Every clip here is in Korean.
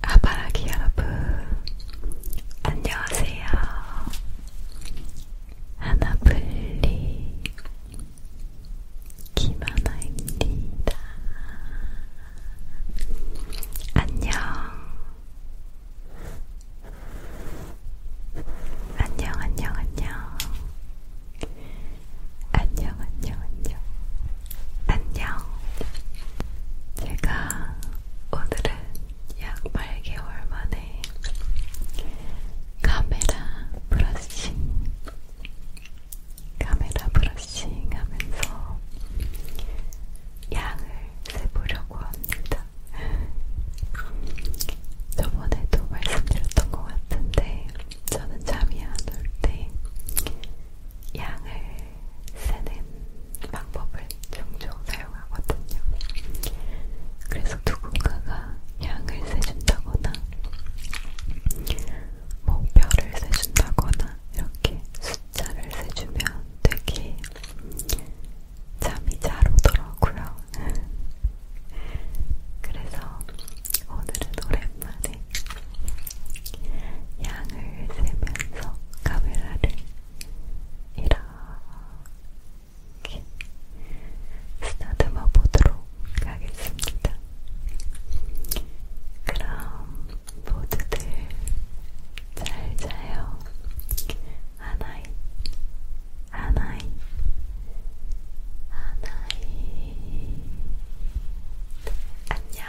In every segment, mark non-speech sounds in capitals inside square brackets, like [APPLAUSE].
아바라기 여러분, 안녕하세요. 하나블리 김하나입니다. 안녕. 안녕, 안녕, 안녕. 안녕, 안녕, 안녕. 안녕. 제가 오늘은 약 8개월 만에 카메라 브러싱, 카메라 브러싱 하면서 양을 세보려고 합니다. 저번에도 말씀드렸던 것 같은데, 저는 잠이 안 올 때 양을 쓰는 방법을 종종 사용하거든요. 그래서 누군가가 양을 세준다거나 뭐 별을 세준다거나 이렇게 숫자를 세주면 되게 잠이 잘 오더라고요. [LAUGHS] 그래서 오늘은 오랜만에 오랜만에 양을 세면서 카메라를 이렇게 쓰다듬어 보도록 하겠습니다. 그럼 모두들 잘 자요. 아나이, 아나이, 아나이. 안녕.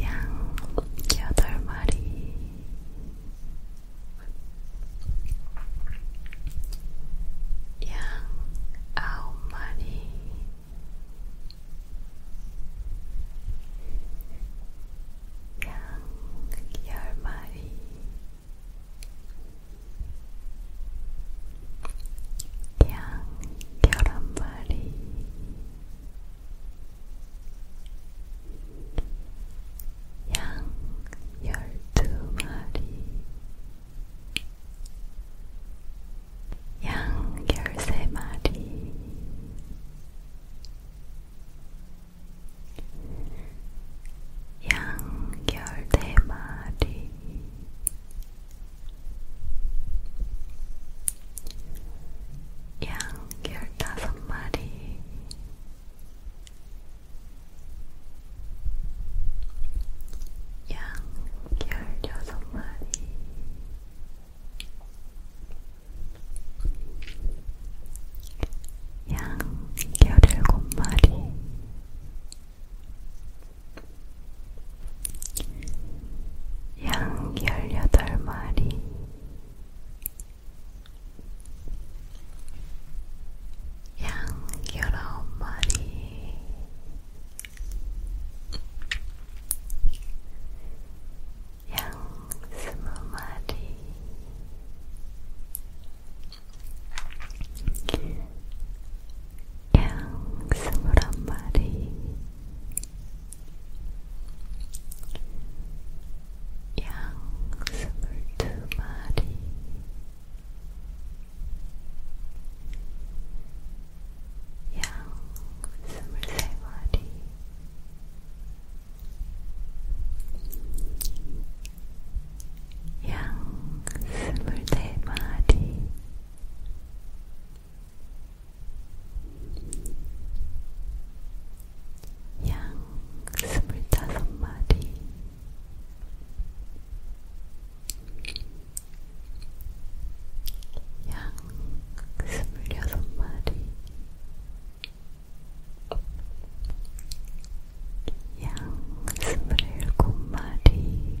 양 여덟 마리 양 아홉 마리 양 열 마리 양 열한마리 양 열두마리 양 열세마리 양 열네마리 양 15마리 양 16마리 양 17마리 양 18마리 양 19마리 양 20마리 양 스물한 마리 양 스물두 마리 양 스물세 마리 양 스물네 마리 양 스물다섯 마리 양 스물여섯 마리 양 스물일곱 마리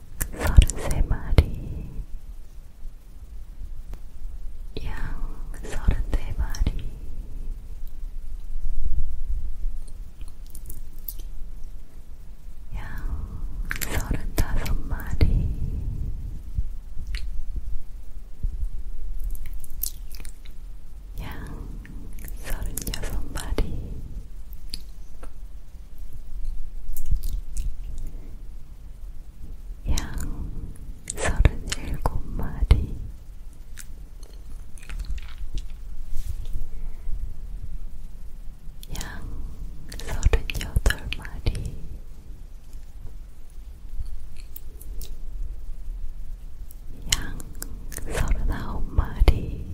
서른세 마리, 양 서른네 마리, 양 서른다섯 마리, 양 서른여섯 마리. 양 서른일곱 마리 양 서른여덟 마리 양 서른아홉 마리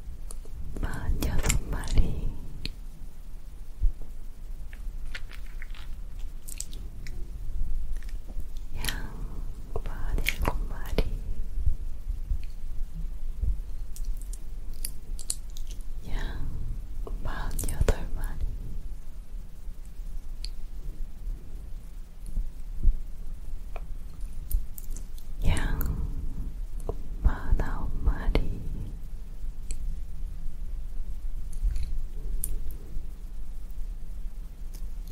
46마리 양 47마리 양 48마리 양 49마리 양 49마리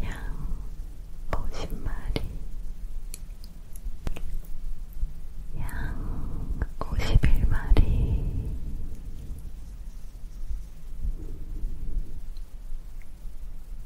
양 50마리 양 51마리 양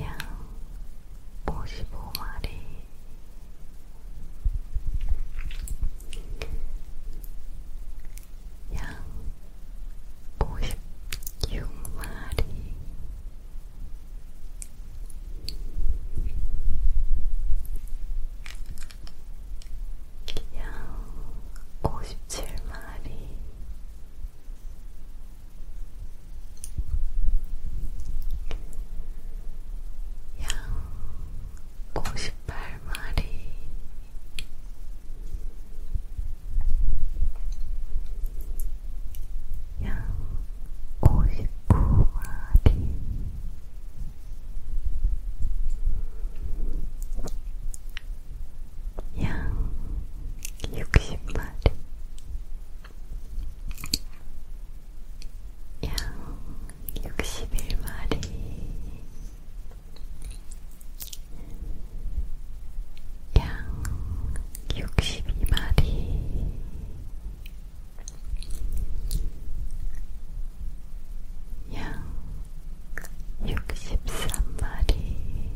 양 55마리 양 56마리 양 57마리 양 58마리 양 59마리 양 60마리 양 61마리 양 62마리 양 63마리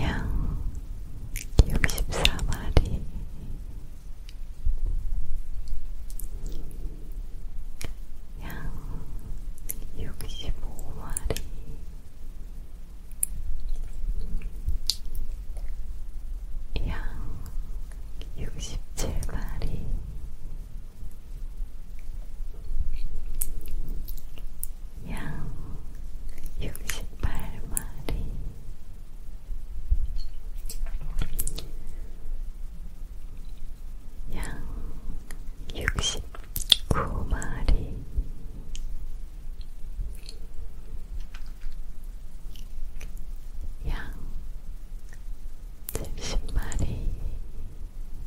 양 64마리 양 65마리 양 67마리 양 68마리 양 69마리 양 70마리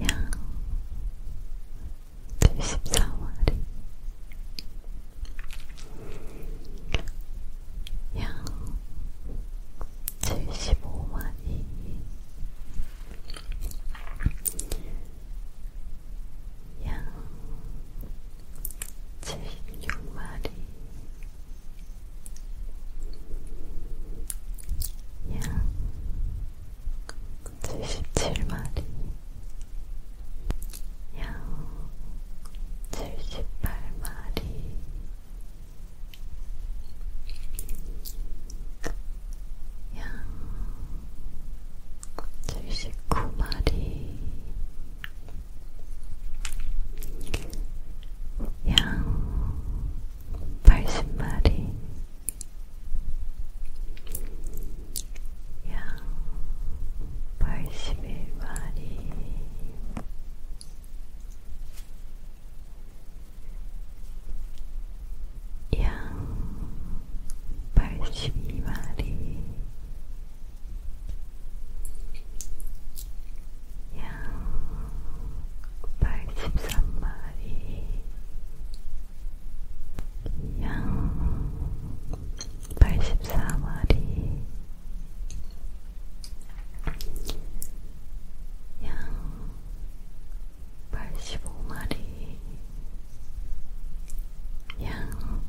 양 74마리 양 75마리 양 제육말이 양 77마리 양 78마리 양 79마리 양 80마리 양 81마리 양 82마리 양 83마리 양 84마리 양 85마리 양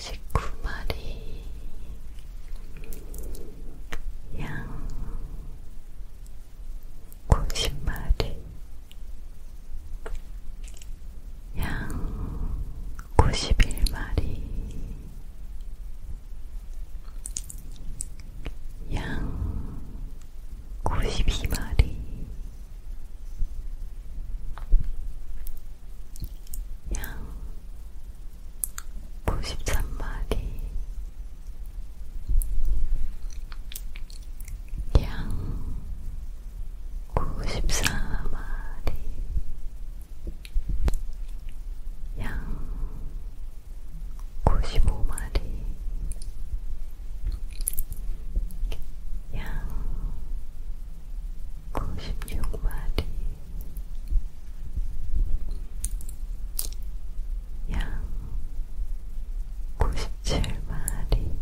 119마리 양 90마리 양 91마리 양 92마리 양 93마리 양 94마리 양 95마리 양 96마리 양 97마리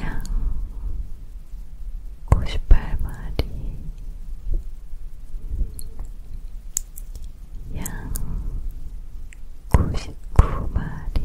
양 98마리 양 99마리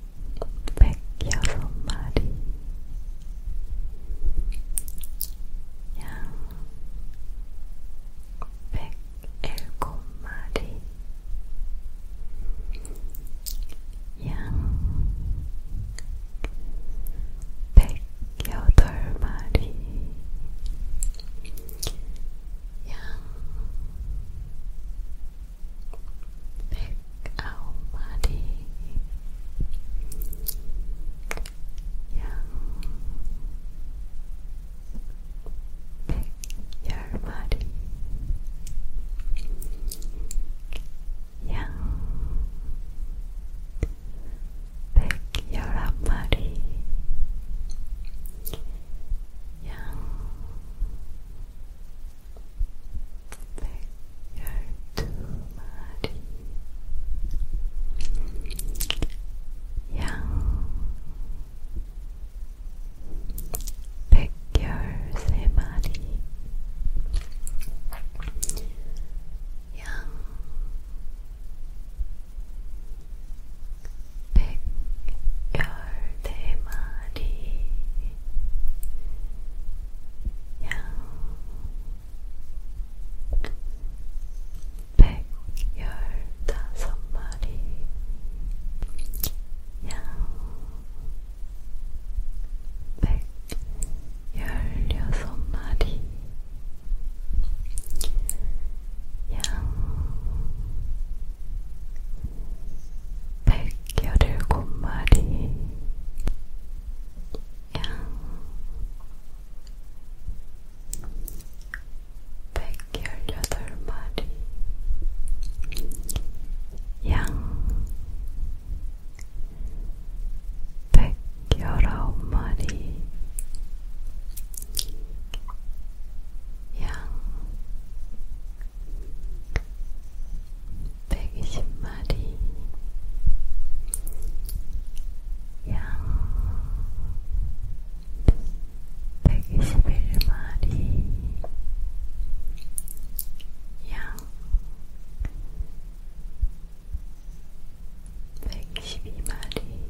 백여섯 마리 양 백일곱 마리 양 백여덟 마리 양 pick our body young pick your body young pick your up body 백열두마리 양 백열세마리 양 백열네 마리 양 백 열다섯 마리 양 백 열여섯 마리 양 백열일곱 마리 양 백열여덟 마리 양 백열아홉 마리 양 120마리 양 121마리 양 122마리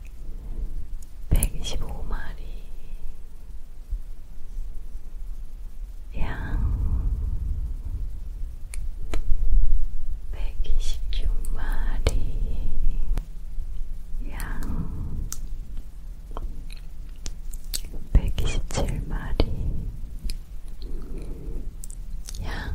125마리 양 126마리 양 127마리 양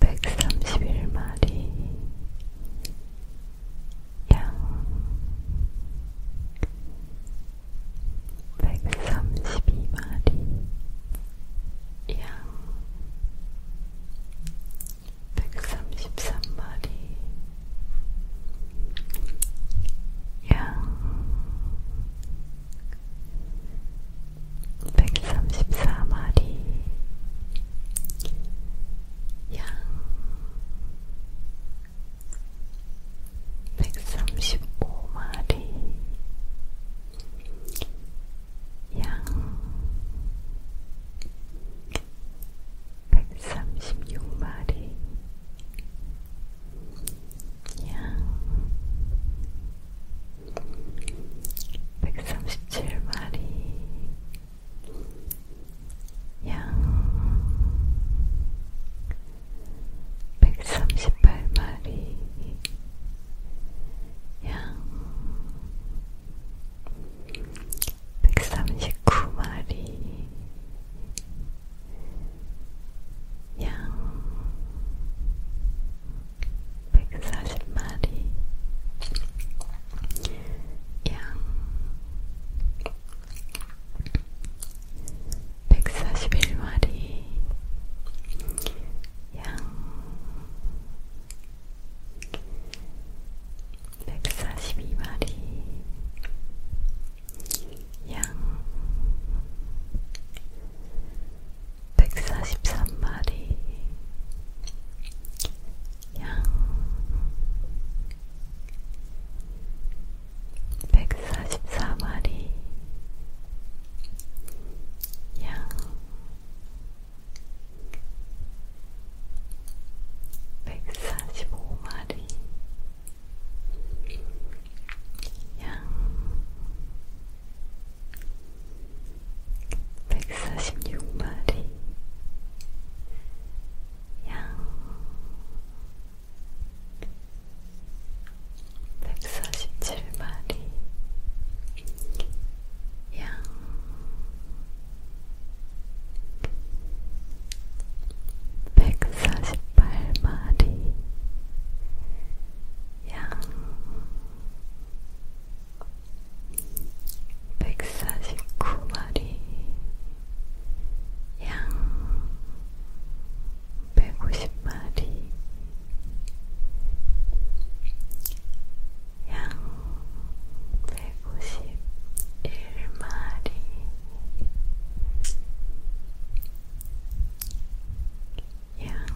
131마리 양 132마리 양 133마리 양 134마리 양 135마리 양 136마리 양 137마리 양 138마리 양 139마리 양 140마리 양 141마리 양 142마리 양 143마리 양 144마리 양 145마리 양 146마리 양 147마리 양 148마리 양149마리 양 150마리 양 151마리 양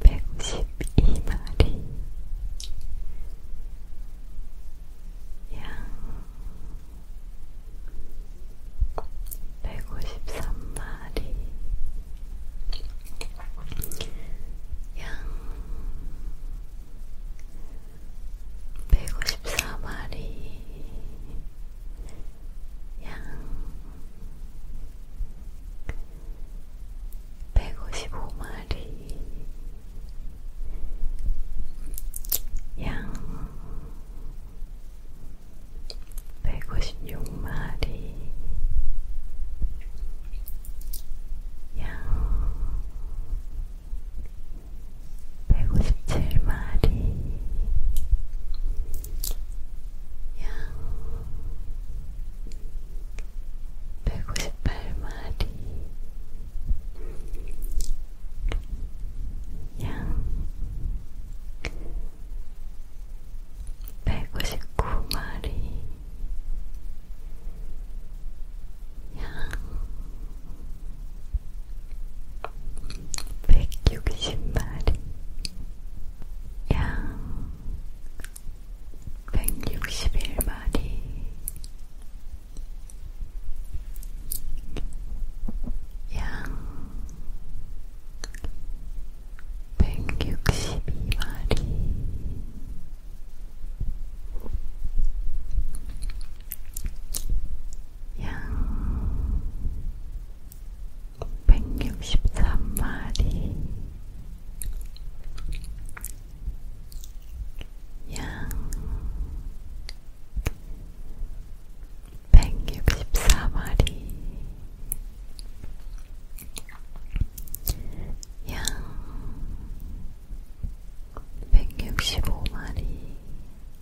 152마리 양 153마리 양 154마리 155마리 양 156마리 양 157마리 양 158마리 양 159마리 양 160마리 양 161마리 양 162마리 양 163마리 양 164마리 양 165마리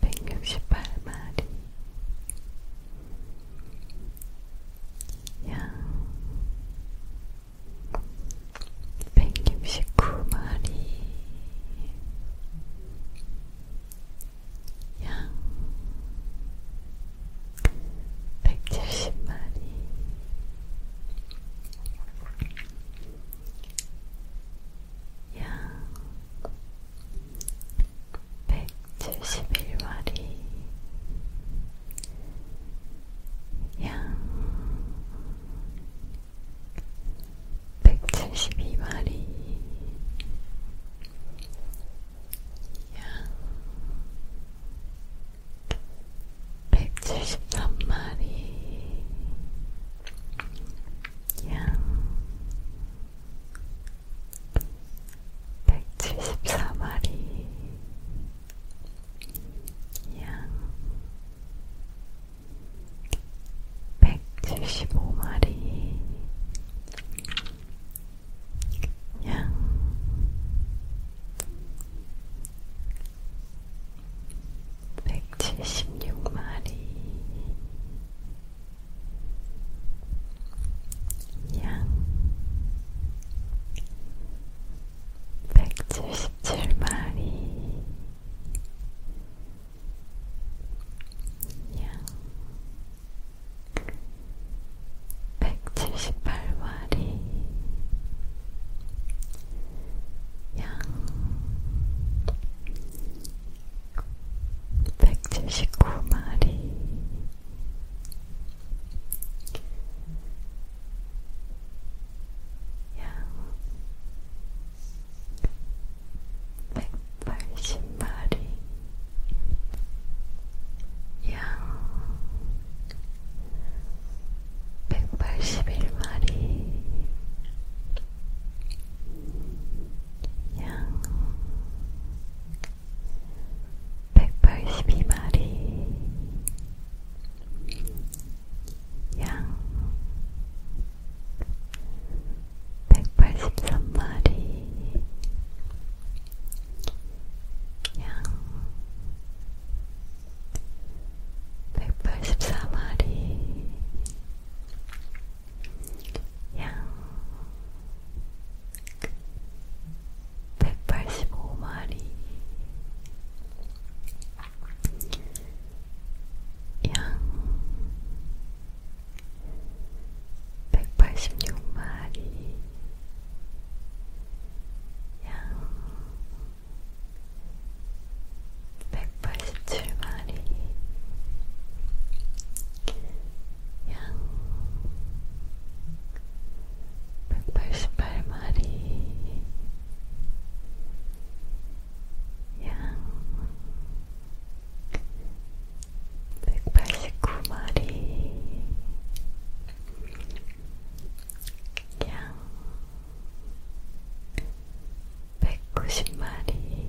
168마리 양 169마리 양 170마리 양 171마리 양 172마리 양 173마리 양 174마리 양 175마리 양 176마리 양 177마리 양 178마리 양 179마리 양 180마리 양 181마리 양 182마리 양 183마리 양 184마리 양 185마리 양 186마리 양 187마리 양 188마리 양 189마리 양 190마리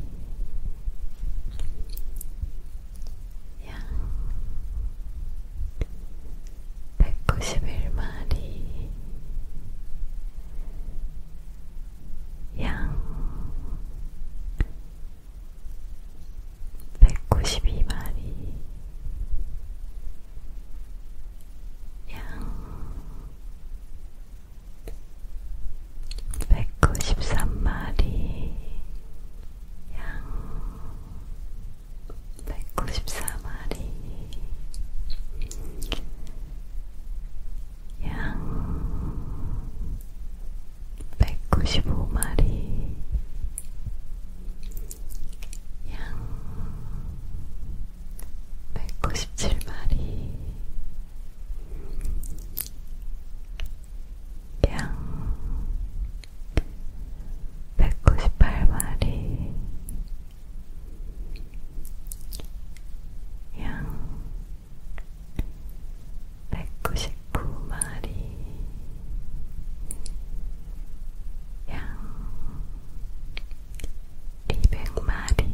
양 191마리 양 192마리 양 193마리 양 194마리 양 195마리 양 197마리 양 198마리 양 199마리 양 200마리